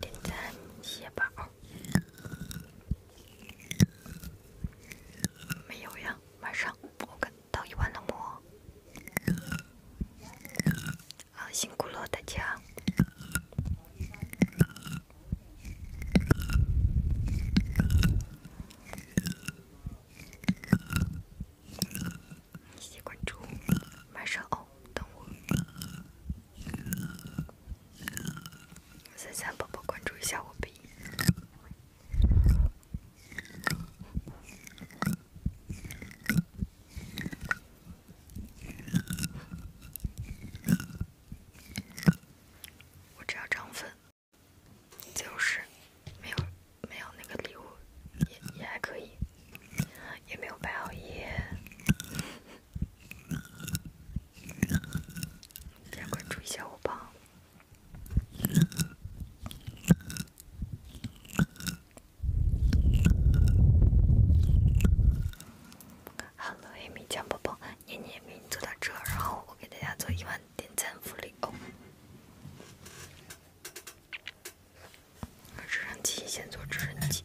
点赞，谢宝。没有呀，晚上我辛苦了大家，谢谢关注，晚上哦。等我，三三宝宝关注一下我我只要涨粉，就是没有没有那个礼物也也还可以，也没有白熬夜。点关注一下我吧。Hello，一名江宝宝，你你做到然后我给大家做一万点赞福利哦。直升机先坐直升机。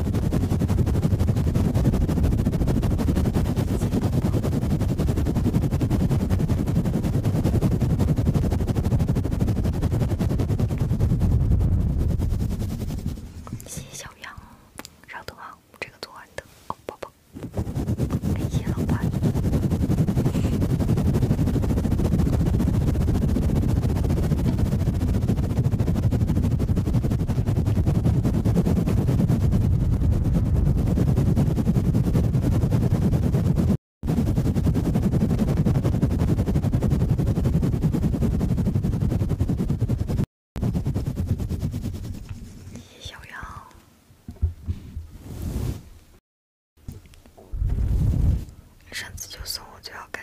谢谢小杨，稍等啊，这个图案等，宝宝，你先等会儿。小杨，上次就松，我就要开。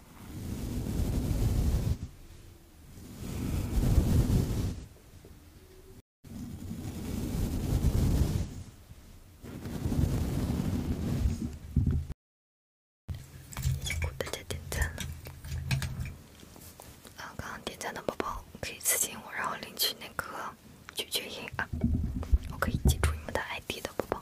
已经大家点赞刚刚点赞的宝宝可以私信我，然后领取那个拒绝音啊，我可以记住你们的 ID 的宝宝。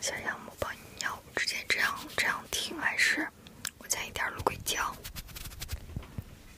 想杨，我帮你尿，直接这样这样停还是？我加一点芦荟胶。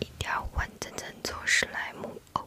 一条稳稳稳做史莱姆哦。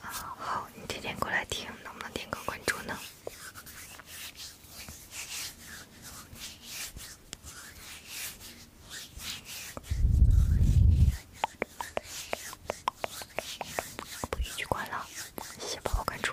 好，你天天过来听，能不能点个关注呢？不继续关了，谢谢宝宝关注。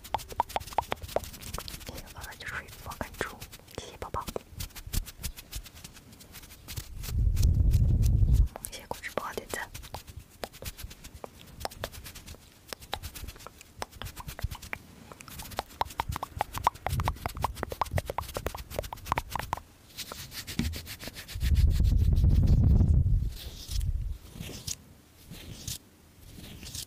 行，完了就睡觉，跟猪。谢谢宝宝，谢谢关注，帮我点赞。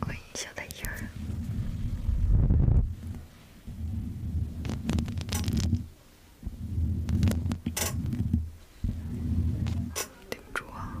欢迎小太阳。顶啊！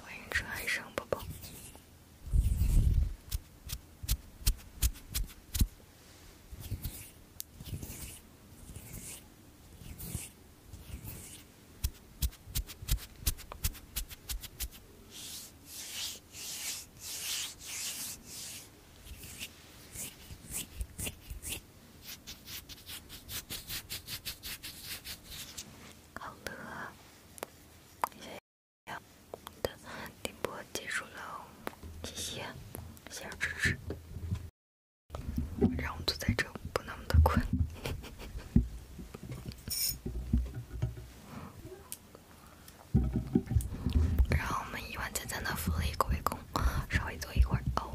欢迎陈海生宝宝。好了，好的，点播结束了，谢谢，谢谢支持，让我坐在这不那么的困，让 我们一万站在那扶着一个稍微坐一会儿哦。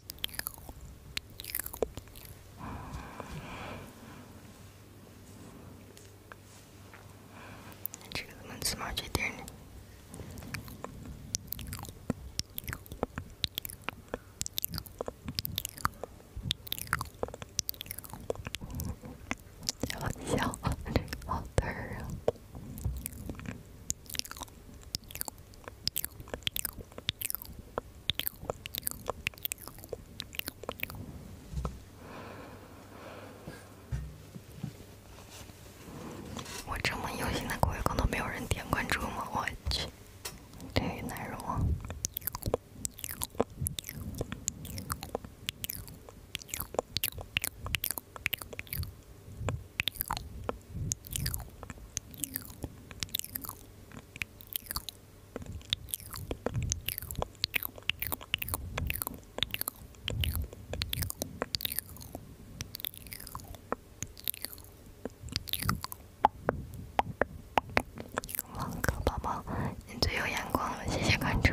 这个能吃吗？这点儿，香，好喝。我这么用心的给我公众没有人点关注吗？我去，天欲难容。萌萌宝宝，你最有眼光了，谢谢关注。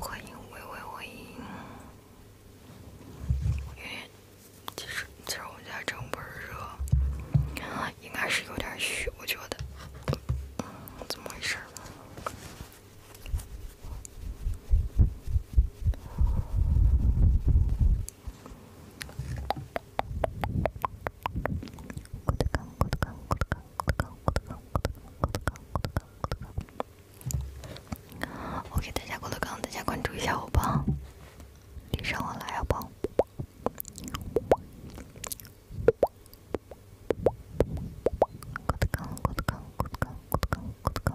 欢迎微微，欢迎。有点，其实其实我家真不是热，应该是有点虚，我觉得。怎么回事？郭德我给大家关注一下来，好不好？郭德纲，郭德纲，郭德纲，郭德纲，郭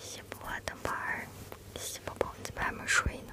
媳妇，等班儿。媳妇，宝贝，你还没睡呢。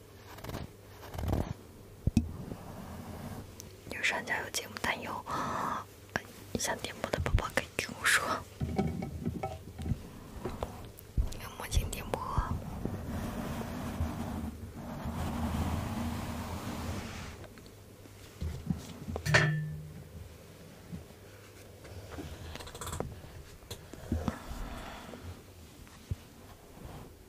有上角有节目，但 有想点播的宝宝可以跟我说，镜点播。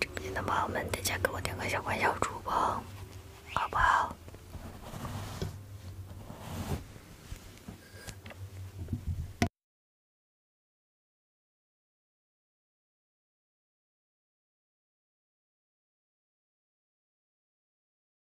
直播间的朋友们，大家给我点个小关小猪吧，好不好？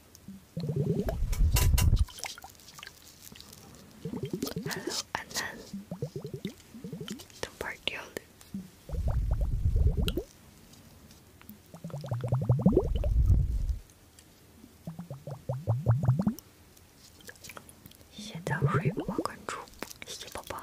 Hello，安安，等会儿听到，先早睡关注，谢谢宝宝。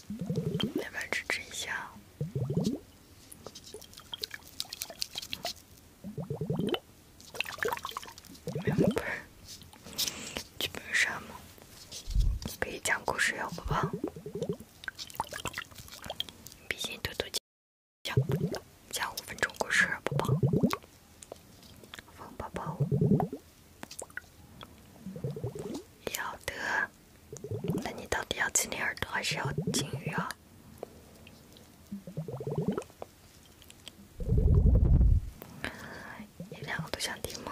要不要支持一下？不是剧本杀吗？可以讲故事，要不吧？笔尖嘟嘟姐，讲讲五分钟故事，不吧？放泡要得，那你到底要亲你耳朵还是要金鱼啊？你两个都想听吗？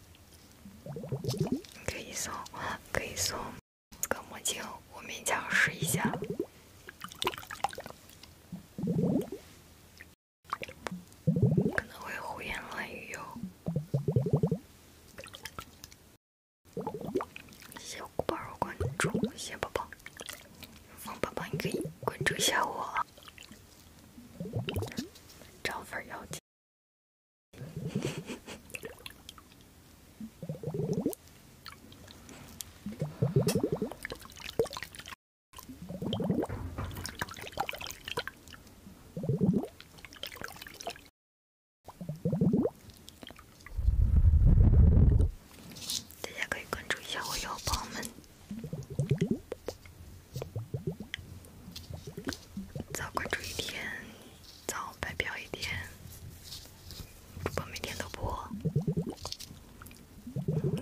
可以送，可以送个墨镜，我勉强试一下，可能会胡言乱语哟。谢谢古宝儿关注，谢宝宝，方宝宝你可以关注一下我。涨粉要紧。大家可以关注一下我哟，摇宝们。早关注一天，早白嫖一天。主播每天都播，要不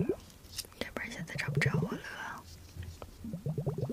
然现在找不着我了。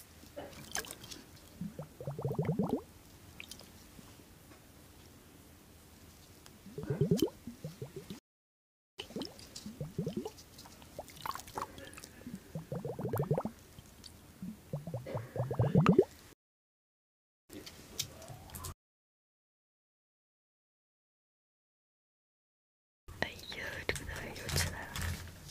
哎呦！它又起来了。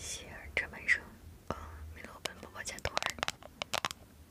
希尔，这门声。啊，米洛本宝宝解脱了。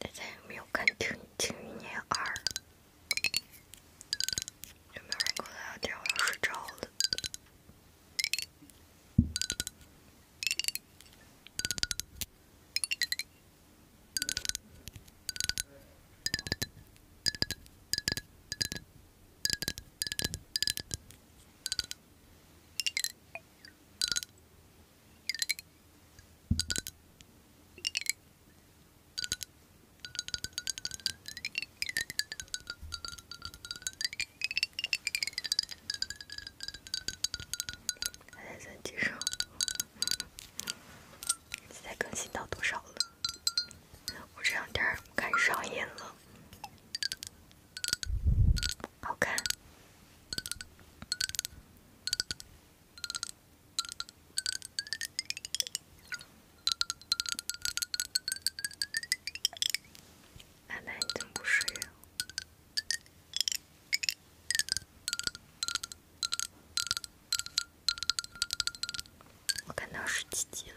大家有没有看《庆庆余年二》？有没有人跟我聊天？我要睡着了。还现在更新到多少了？我这两天看上瘾了，好看。奶奶怎么不睡啊？我看到十七集了。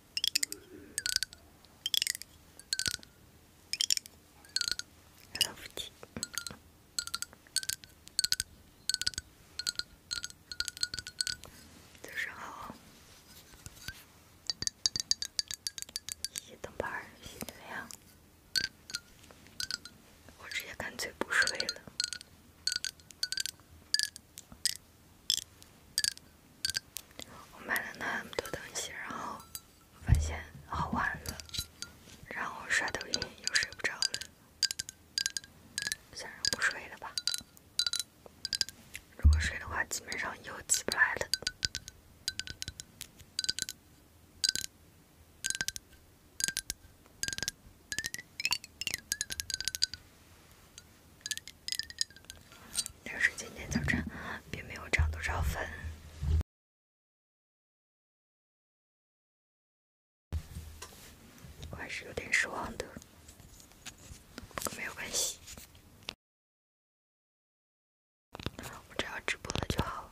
早安，早上好。谢谢灯牌，心亮。我直接干脆不睡了。我买了那么多东西，然后发现好玩了，然后刷抖音又睡不着了，算了，不睡了吧。如果睡的话，基本上又起不来了。但是今天早晨并没有涨多少粉，我还是有点失望的。不过没有关系，我只要直播了就好。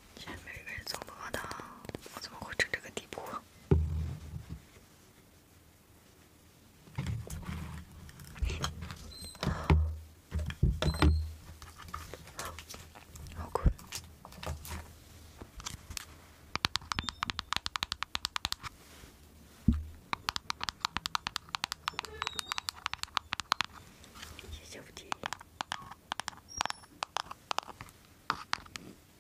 前面一个人走过的，我怎么会到这个地步？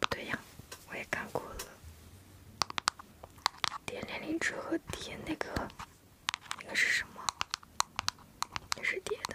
不对呀，我也看过了。叠年龄值和叠那个，那个是什么？也是叠的。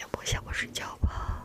要不先我睡觉吧。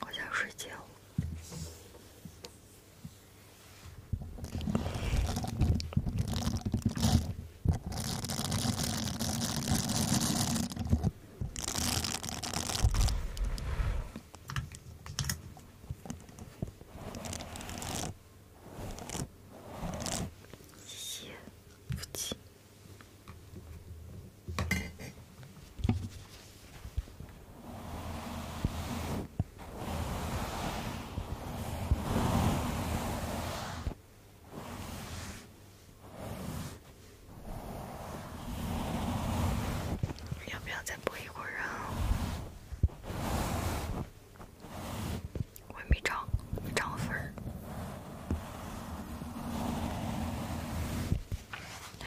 我想睡觉。要不要再播一会儿？人，为米涨涨粉儿。对。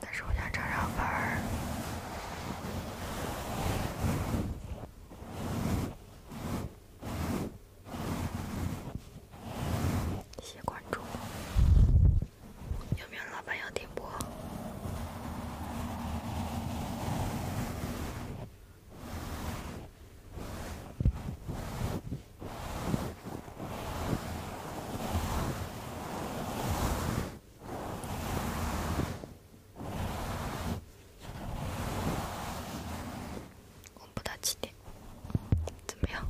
但是我想找上班儿。谢关注，有没有老板要点播？播到七点，怎么样？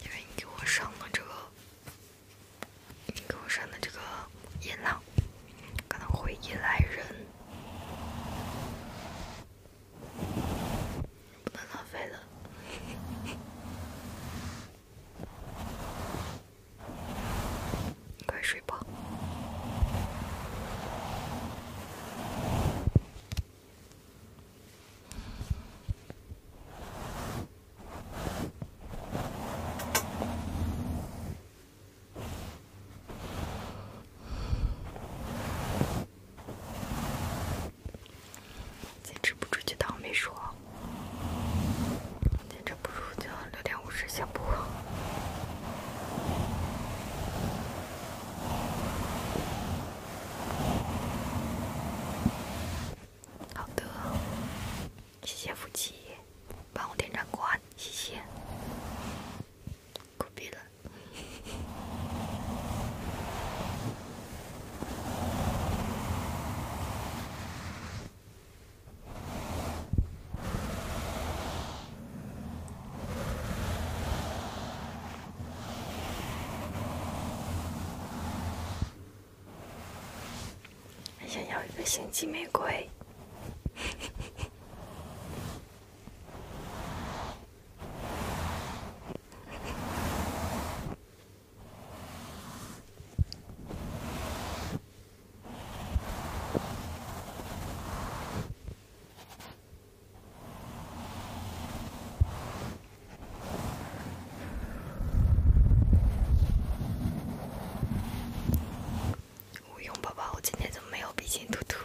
因为你给我上了这个，你给我上了这个音浪，可能会依赖人。不能浪费了，快睡吧。坚持不住就当我没说。坚持不住就六点五行不？好的，谢谢夫妻，帮我点赞关，谢谢，酷毙了。想要一个星际玫瑰。吴勇宝宝，我今天怎么没有比心兔兔？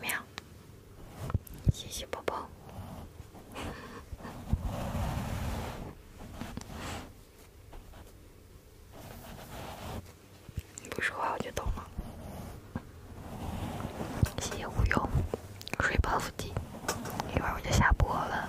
喵，谢谢宝宝。你不说话我就懂了。谢谢无忧，睡抱腹肌。一会儿我就下播了。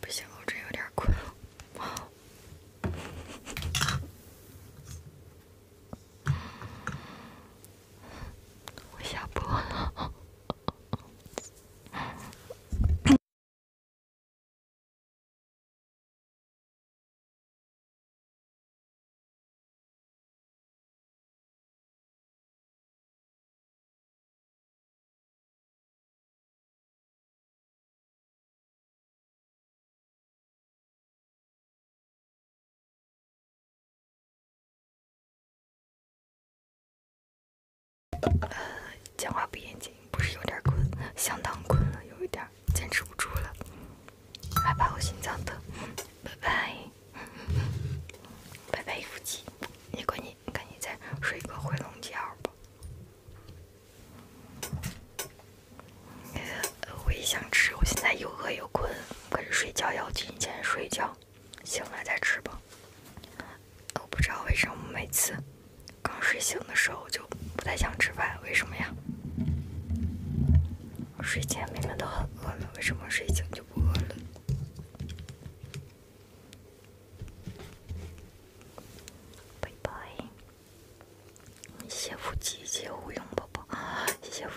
不行，我这有点困了。我下播了。呃，讲话不严谨，不是有点困，相当困了，有一点坚持不住了，害怕我心脏疼，拜拜，拜拜夫妻，你赶紧赶紧再睡个回笼觉吧。我也想吃，我现在又饿又困，可是睡觉，要提前睡觉。醒了再吃吧。我不知道为什么每次刚睡醒的时候就不太想吃饭，为什么呀？睡前明明都很饿了，为什么睡醒就不饿了？拜拜。谢谢福气，谢谢无用宝宝，谢谢